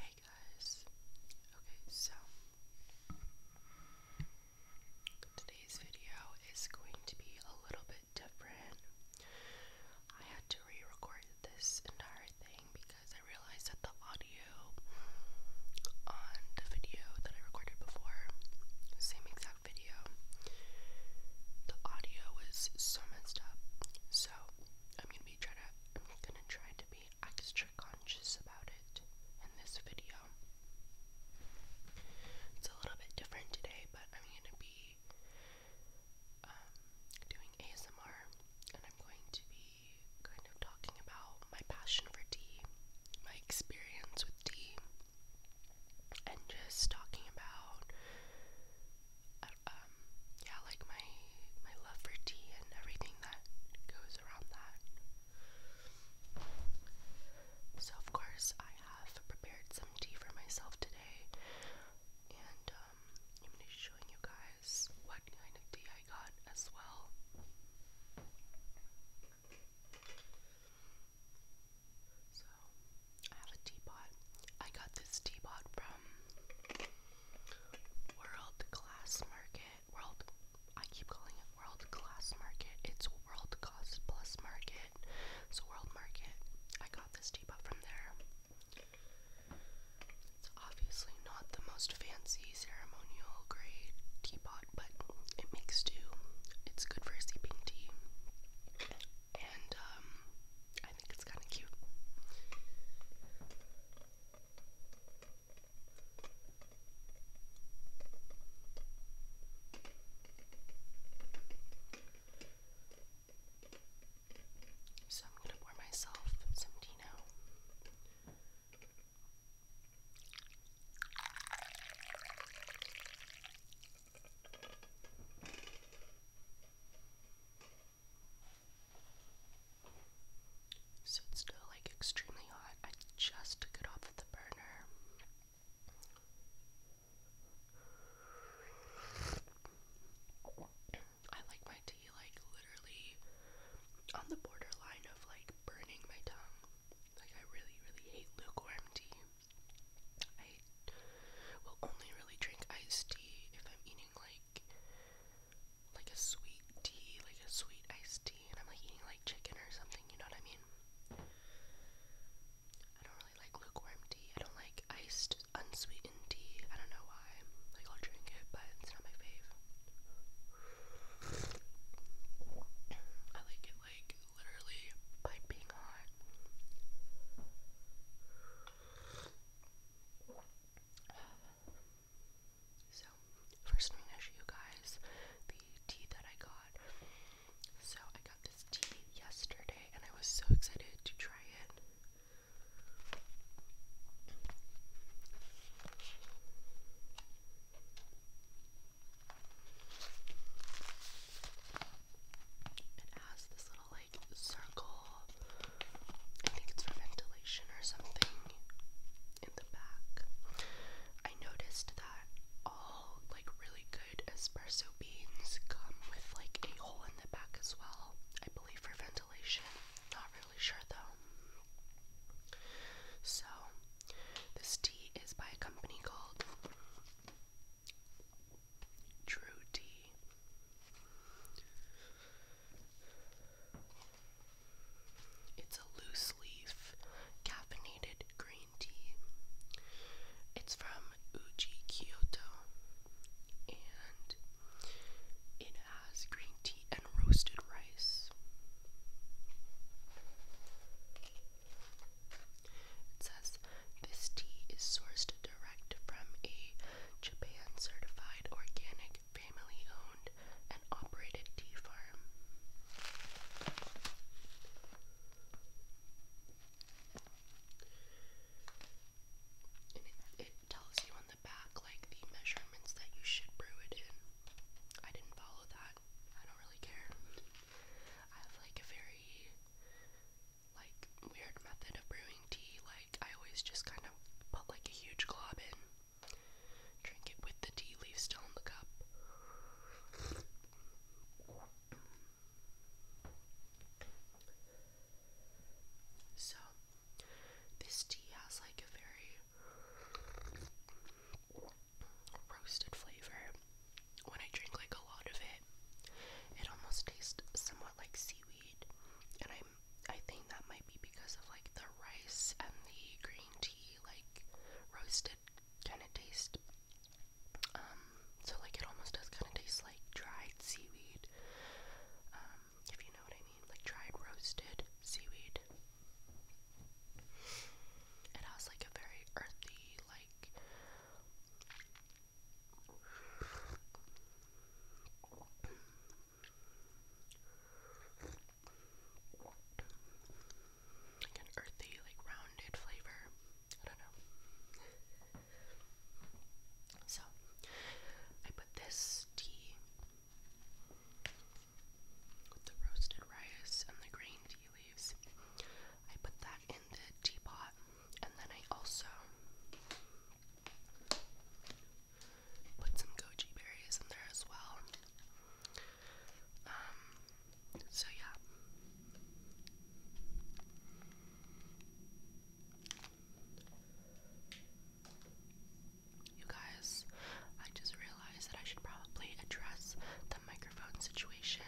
Hey guys. Okay, so today's video is going to be a little bit different. I had to re-record this entire thing because I realized that the audio on the video that I recorded before, same exact video, the audio was so messed up. So I'm gonna be trying to I'm gonna try to be extra conscious about it in this video. It's a little bit different today, but I'm gonna be um, doing ASMR and I'm going to be kind of talking about my passion for tea, my experience with tea, and just talking about yeah, like my my love for tea and everything that goes around that. So of course I have prepared some tea for myself today, and um, I'm going showing you guys what kind of tea I got as well. So I have a teapot. I got this teapot from World Class Market. World, I keep calling it World Class Market. It's World class Plus Market. It's a World Market. I got this teapot from there. It's obviously not the most fancy ceremonial grade teapot, but it makes do. It's good for sipping tea. And um, I think it's kind of cute. So I'm going to pour myself some Dino. So it's still like extremely hot. I just took it off of the burner. I like my tea like literally on the borderline of like burning my tongue. Like I really, really hate lukewarm tea. I will only really drink iced tea if I'm eating like like a sweet tea, like a sweet iced tea, and I'm like eating like chicken or something, you know what I mean? I don't really like lukewarm tea. I don't like iced unsweetened tea. I don't know why. Like I'll drink it, but it's not my fave. I like it like literally piping hot. So, first I'm gonna show you guys the tea that I got. So I got this tea yesterday and I was so excited to try it. It has this little circle. I think it's for ventilation or something in the back. I noticed that all like really good espresso beans come with like a hole in the back as well. I believe for ventilation. Not really sure though. So this tea is by a company called True Tea. It's a loose leaf caffeinated green tea. It's from Uji Kyoto and it has green tea and roasted rice. It says this tea is sourced direct from a Japan certified organic, family owned, and operated tea farm. it tells you on the back like the measurements that you should brew it in. I didn't follow that. I don't really care. I have like a very like weird method of brewing tea, like I always just kind of put like a huge glob in, drink it with the tea leaf still in the cup. So, this tea has like a very roasted flavor. When I drink like a lot of it, it almost tastes somewhat like seaweed, and I I think that might be because of like the rice and the green tea, like roasted kind of taste. Um, so like it almost does kind of taste like dried seaweed. Um, if you know what I mean, like dried roasted seaweed. It has like a very earthy, like like an earthy, like rounded flavor. I don't know. So, I put this tea with the roasted rice and the green tea leaves. I put that in the teapot, and then I also Put some goji berries in there as well. Um, so yeah. You guys, I just realized that I should probably address the microphone situation.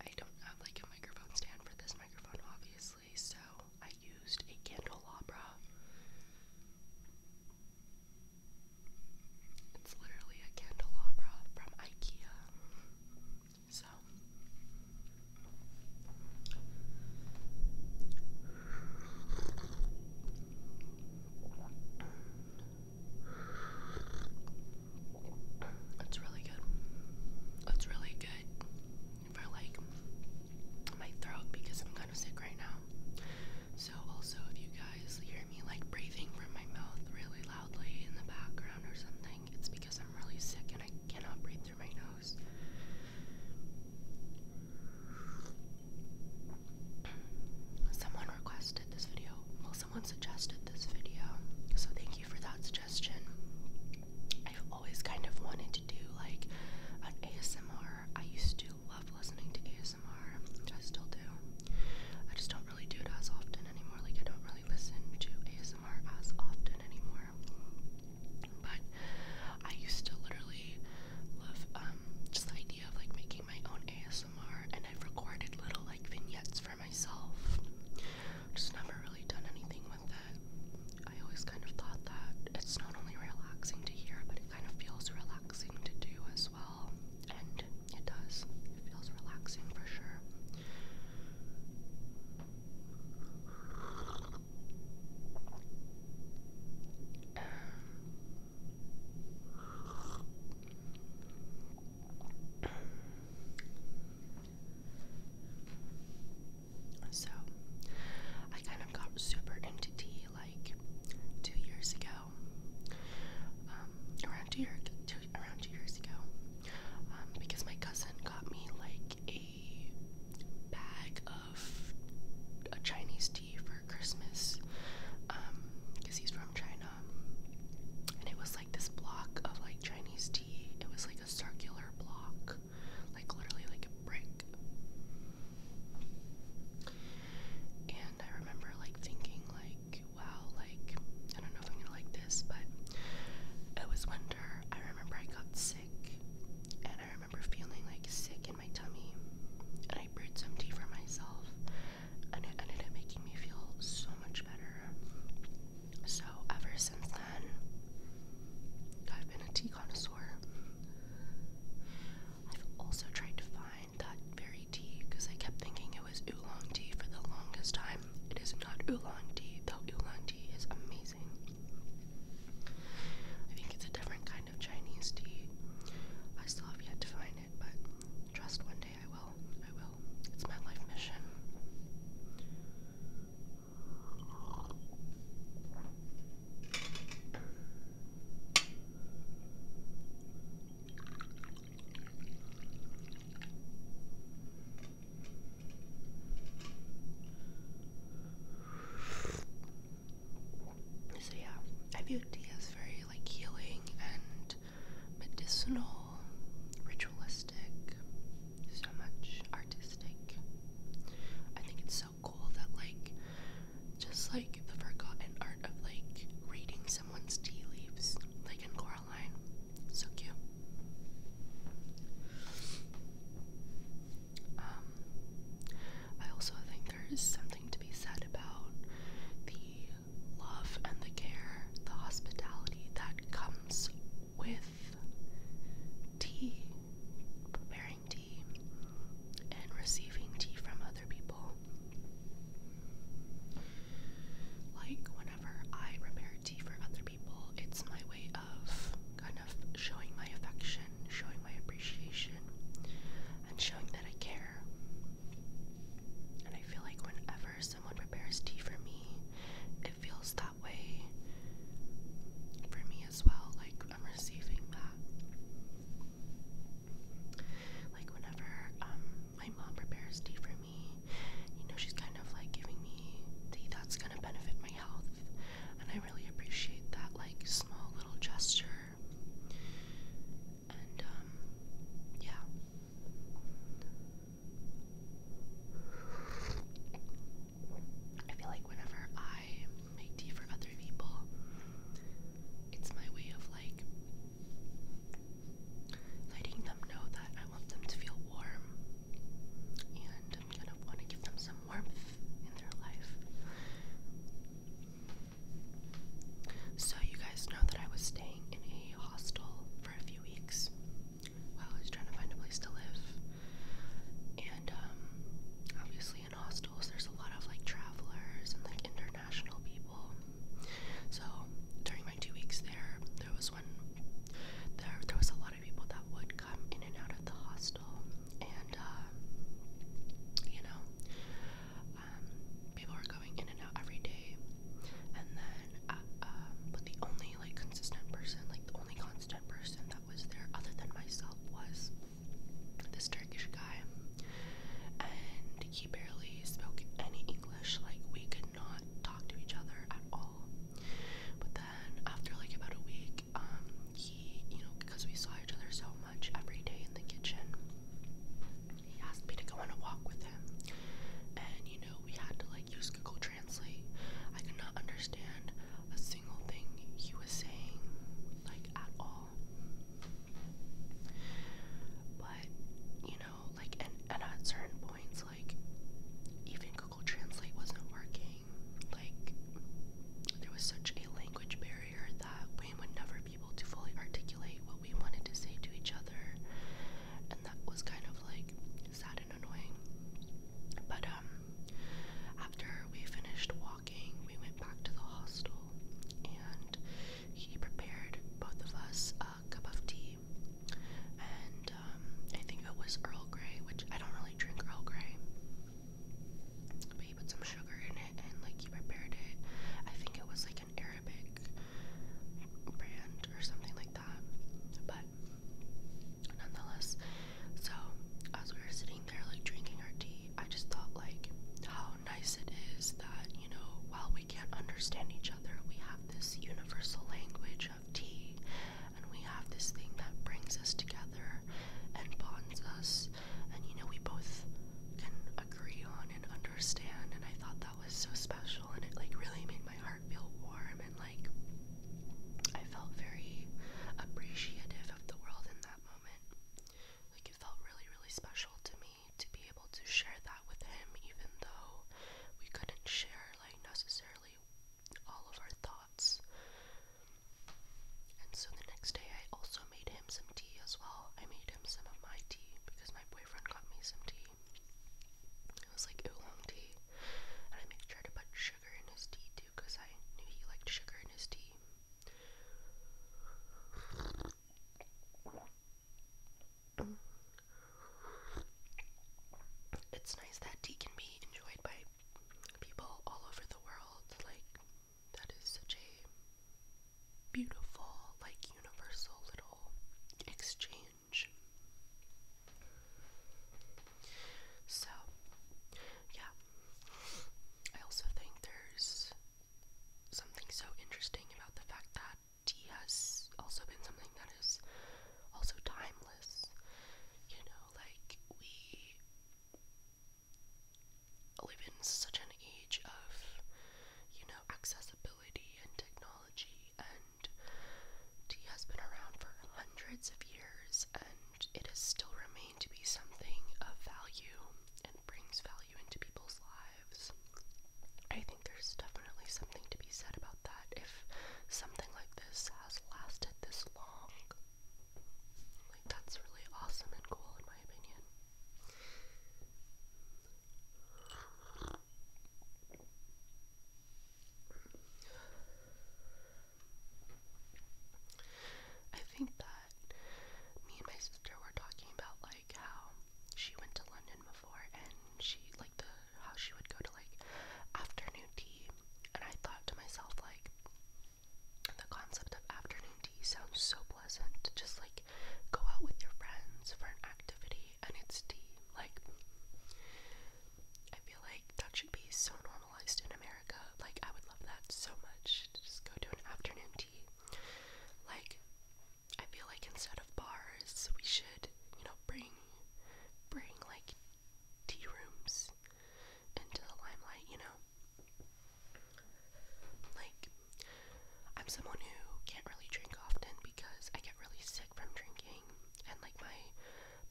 I don't have like a microphone stand for this microphone, obviously so I used a candelabra. It's literally a candelabra from IKEA. So that's really good. That's really good for like my throat because I'm kind of sick right now. So also if you guys hear me like breathing from my mouth really loudly in the background or something, it's because I'm really sick and I cannot breathe through my nose. Someone requested this video. Well, someone suggested this video. So thank you for that suggestion always kind of wanted to do like an ASMR. I used to love listening to ASMR, which I still do. I just don't really do it as often anymore. Like I don't really listen to ASMR as often anymore. But I used to literally love um just the idea of like making my own ASMR and I've recorded little like vignettes for myself. Just never really done anything with it. I always kind of thought that it's not only relaxing to hear, but it kind of feels relaxing to do as well. And it does. It feels relaxing for sure. Um, so, I kind of got super into tea like two years ago. Um, around two, year, around two years ago, um, because my cousin got me like a bag of a Chinese tea for Christmas, because um, he's from China, and it was like this block of like Chinese tea. It was like a circular block, like literally like a brick. And I remember like thinking like, wow, like I don't know if I'm gonna like this, but it was winter. I remember I got sick, and I remember feeling like sick in my tummy, and I brewed some tea for myself, and it ended up making me feel so much better. So ever since then, I've been a tea connoisseur. I've also tried to find that very tea because I kept thinking it was oolong tea for the longest time. It is not oolong tea, though oolong tea is amazing. I think it's a different kind of Chinese tea. I still have yet to find it, but trust one day I will. I will. It's my life mission. So yeah, I view tea as very like healing and medicinal ritualistic, so much artistic. I think it's so cool that, like, just like the forgotten art of like reading someone's tea leaves, like in Coraline. So cute. Um, I also think there's something to be said about the love and the care, the hospitality that comes with tea, preparing tea, and receiving tea from other people. Like, whenever I prepare tea for other people, it's my way of kind of showing my affection, showing my appreciation, and showing that I care. And I feel like whenever someone prepares tea for me, feels that way for me as well. Like, I'm receiving that. Like, whenever um, my mom prepares tea for me, you know, she's kind of like giving me tea that's gonna benefit my health, and I really appreciate that, like, small little gesture. And, um, yeah. I feel like whenever I make tea for other people, it's my way of like letting them know that I want them to feel warm and I'm gonna want to give them some warmth in their life. So, you guys know that I was staying in a hostel for a few weeks while I was trying to find a place to live. And um, obviously, in hostels, there's a lot of like travelers and like international people. So during my two weeks there, there was one. There, there was a lot of people that would come in and out of the hostel, and uh, you know, um, people were going in and out every day. And then uh, um, but the only like consistent person, like the only constant person that was there other than myself was this Turkish guy, and he barely spoke any English. Like we could not talk to each other at all. But then after like about a week, um, he, you know, because we saw each other so much every day in the kitchen, he asked me to go on a walk with him, and you know, we had to use Google Translate. I could not understand a single thing he was saying, like at all. But you know, like and at certain points, like even Google Translate wasn't working. Like there was such a language barrier that we would never be able to fully articulate what we wanted to say to each other. And that was kind of like sad annoying. But um after we finished walking, we went back to the hostel and he prepared both of us a cup of tea. And um, I think it was Earl Grey, which I don't really drink Earl Grey. But he put some sugar in it and like he prepared it. I think it was like an Arabic brand or something like that. But nonetheless. So as we were sitting there like drinking our tea, I just thought like how nice it is that, you know, while we can't understand each other, we have this universal language of tea and we have this thing that brings us together and bonds us and you know we both can agree on and understand and I thought that was so special and it like really made my heart feel warm and like I felt very appreciative of the world in that moment. Like it felt really, really special to me to be able to share that with him even though we couldn't share like necessarily all of our thoughts. And so the next day I also made him some tea as well. I made him some of my tea because my boyfriend got me some tea tea. It was like oolong tea. And I made sure to put sugar in his tea too because I knew he liked sugar in his tea. It's nice that tea can be enjoyed by people all over the world. Like, that is such a beautiful, like, universal little exchange so, yeah. I also think there's something so interesting about the fact that tea has also been something that is also timeless. You know, like we live in such an age of, you know, accessibility and technology and Tea has been around for hundreds of years and it has still remained to be something of value and brings value into people's lives. I think there's definitely something to be said about that if something like this has lasted this long. Like, that's really awesome and cool, in my opinion. I think that me and my sister were talking about like how she went to London before and she like the how she would go to like afternoon tea and I thought to myself like the concept of afternoon tea sounds so pleasant to just like go out with your friends for an activity and it's tea. Like, I feel like that should be so normalized in America. Like, I would love that so much to just go to an afternoon tea. Like, I feel like instead of bars, we should, you know, bring, bring like tea rooms into the limelight, you know? Like, I'm someone who can't really drink often because I get really sick from drinking, and like my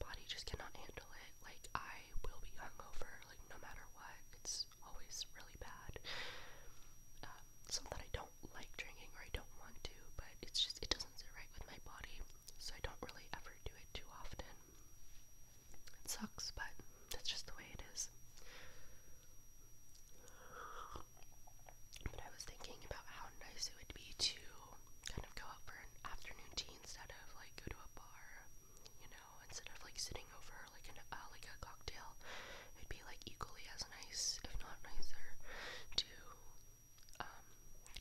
body just cannot handle it, like I will be hungover, like no matter what. It's always really bad. Um, that I don't like drinking or I don't want to, but it's just it doesn't sit right with my body, so I don't really ever do it too often. It sucks, but that's just the way it is. But I was thinking about how nice it would be to kind of go out for an afternoon tea instead of like go to a bar, you know, instead of like sitting over like an uh, like a cocktail, it'd be like equally as nice, if not nicer, to um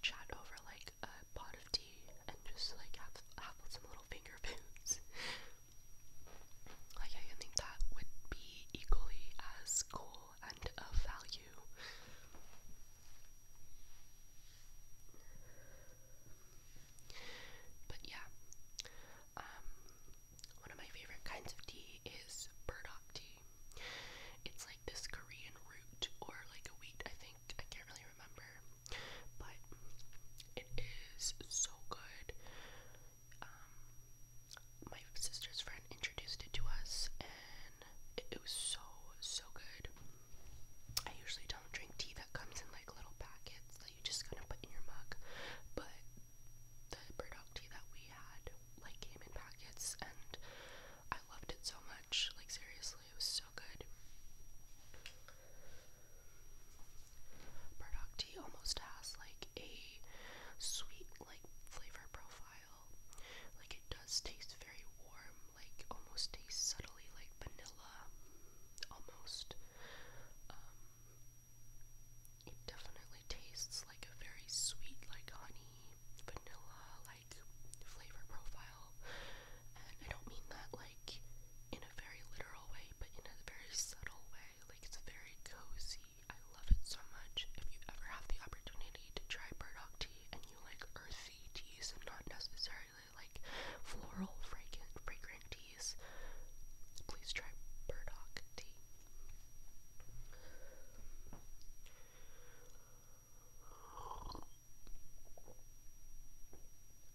chat over like a pot of tea and just like have have some little finger foods. like I think that would be equally as cool and of value. But yeah, um, one of my favorite kinds of tea is burdock tea. It's like this Korean root or like a wheat, I think. I can't really remember. But it is so good. Um, my sister's friend introduced it to us, and it, was so, so good. I usually don't drink tea that comes in like little packets that you just kind of put in your mug, but the burdock tea that we had like came in packets and I loved it so much. Like, seriously, it was so good. Burdock tea almost has like a sweet, like, flavor profile. Like it does taste very warm, like almost tastes subtly like vanilla, almost. Um, it definitely tastes like a very sweet, like honey, vanilla, like flavor profile. And I don't mean that like in a very literal way, but in a very subtle way. Like it's very cozy. I love it so much. If you ever have the opportunity to try burdock tea and like earthy teas and not necessarily like floral fragrant fragrant teas, please try burdock tea.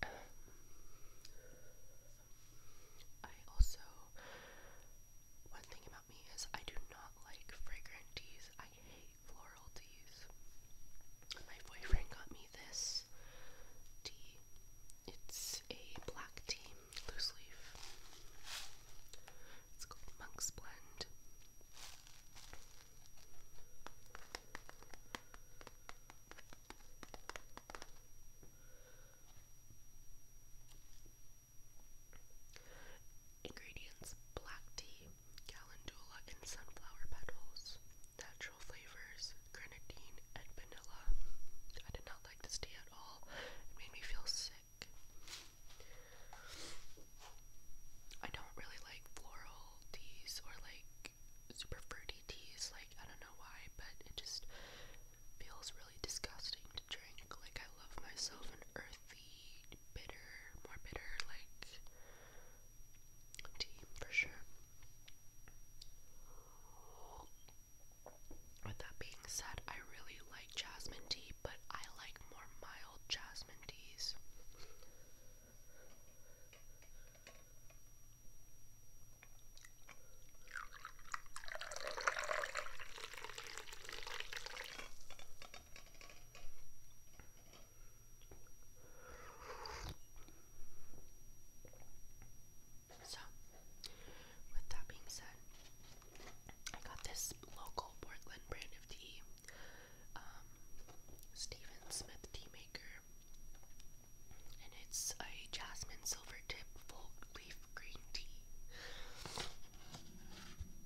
Um, I also one thing about me is I do not like fragrant teas. I hate floral teas. My boyfriend got me this tea. It's a black tea, loose leaf. It's called Monk's Blend. Ingredients black tea, calendula and sunflower petals, natural flavors, grenadine and vanilla. I did not like this tea at all. It made me feel sick. I don't really like floral teas or like super fruity teas. Like, I don't know why, but it just feels really disgusting to drink. Like, I love myself an earthy bitter, more bitter like tea for sure. With that being said, I really like jasmine tea, but I like more mild jasmine teas. So, with that being said, I got this local Portland brand of tea, um, Stephen Smith Tea Maker, and it's a jasmine silver tip full leaf green tea.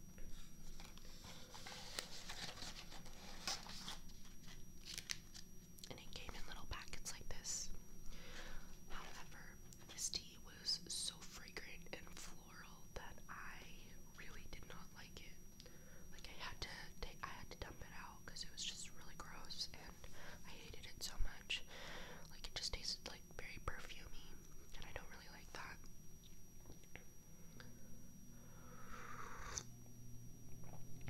And it came in little packets like this. However, this tea was so fragrant and floral that I really did not like it. Like I had to I had to dump it out because it was just really gross, and I hated it so much. Like it just tasted like very perfumey, and I don't really like that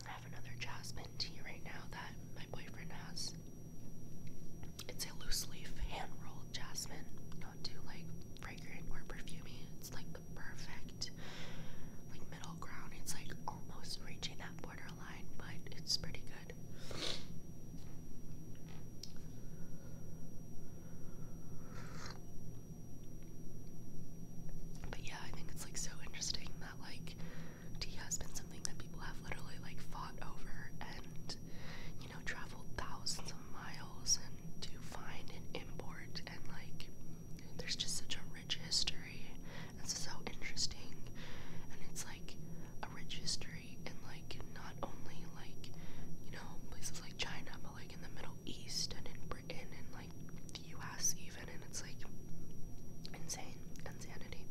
have another jasmine tea right now that my boyfriend has. It's a loose leaf hand rolled jasmine, not too like fragrant or perfumey. It's like the perfect like middle ground. It's like almost reaching that borderline, but it's pretty good. But yeah, I think it's like so interesting that like tea has been something that people have literally like fought over and you know traveled thousands of miles and to find and import and like there's just such a rich history. It's so interesting and it's like a rich history and like not only like you know places like China like in the Middle East and in Britain and like the US even and it's like insane insanity.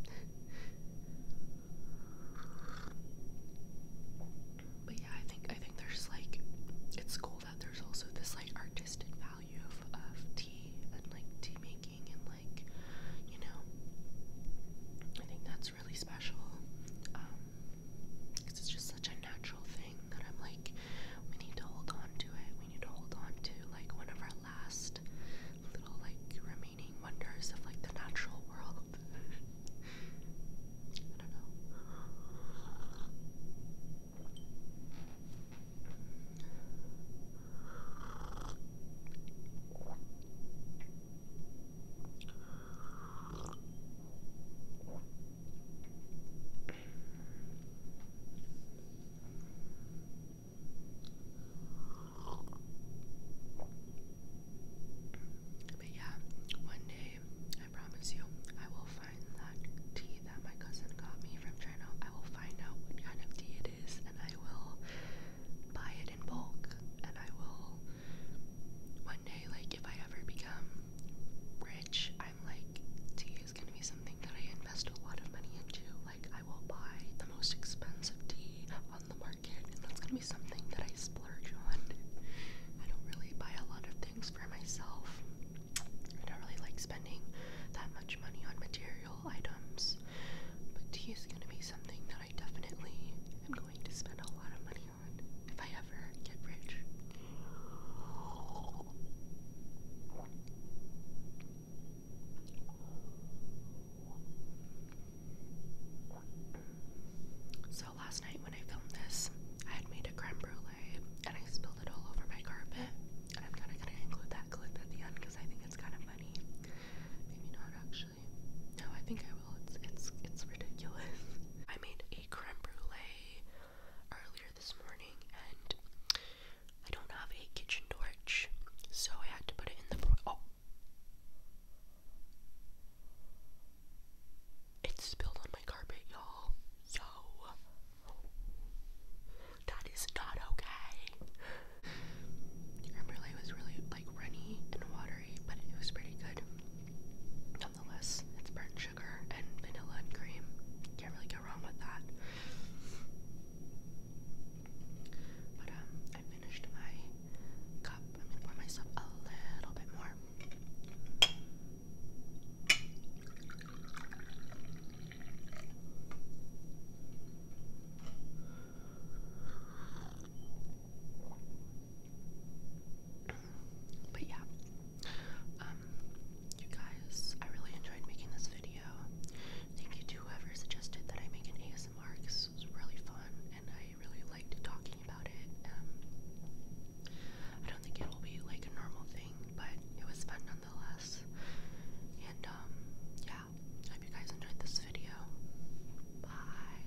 But yeah, I think I think there's like it's cool that there's also this like artistic value of, of tea and like tea making and like you know I think that's really special. Um, because it's just such a natural thing that I'm like, we need to hold on to it. We need to hold on to like one of our last little like remaining wonders of like the natural world. I don't know. But yeah, one day I promise you, I will find that tea that my cousin got me from China. I will find out what kind of tea it is and I will buy it in bulk and I will one day, like, if I ever become rich, I'm like, tea is gonna be something that I invest a lot of money into. Like, I will buy the most expensive tea on the market, and that's gonna be something that I splurge on. I don't really buy a lot of things for myself. I don't really like spending that much money on material items, but tea is gonna be something that I definitely am going to spend a lot of money if I ever get rich. So last night when I filmed this, I had made a creme brulee and I spilled it all over my carpet. And I'm kind of going to include that clip at the end because I think it's kind of funny. Maybe not actually. No, I think I will. It's it's it's ridiculous. I made creme brulee earlier this morning, and I don't have a kitchen torch, so I had to put it in the oh. It spilled on my carpet, y'all. Yo. That is not okay. Creme brulee was really like runny and watery, but it was pretty good nonetheless, it's burnt sugar and vanilla and cream. Can't really go wrong with that. But um, I finished my cup. I'm gonna pour myself a little bit more. But yeah, um, you guys, I really enjoyed making this video. Thank you to whoever suggested that I make an ASMR This was really fun and I really liked talking about it. Um, I don't think it'll be like a normal thing, but it was fun nonetheless. And um, yeah, hope you guys enjoyed this video. Bye.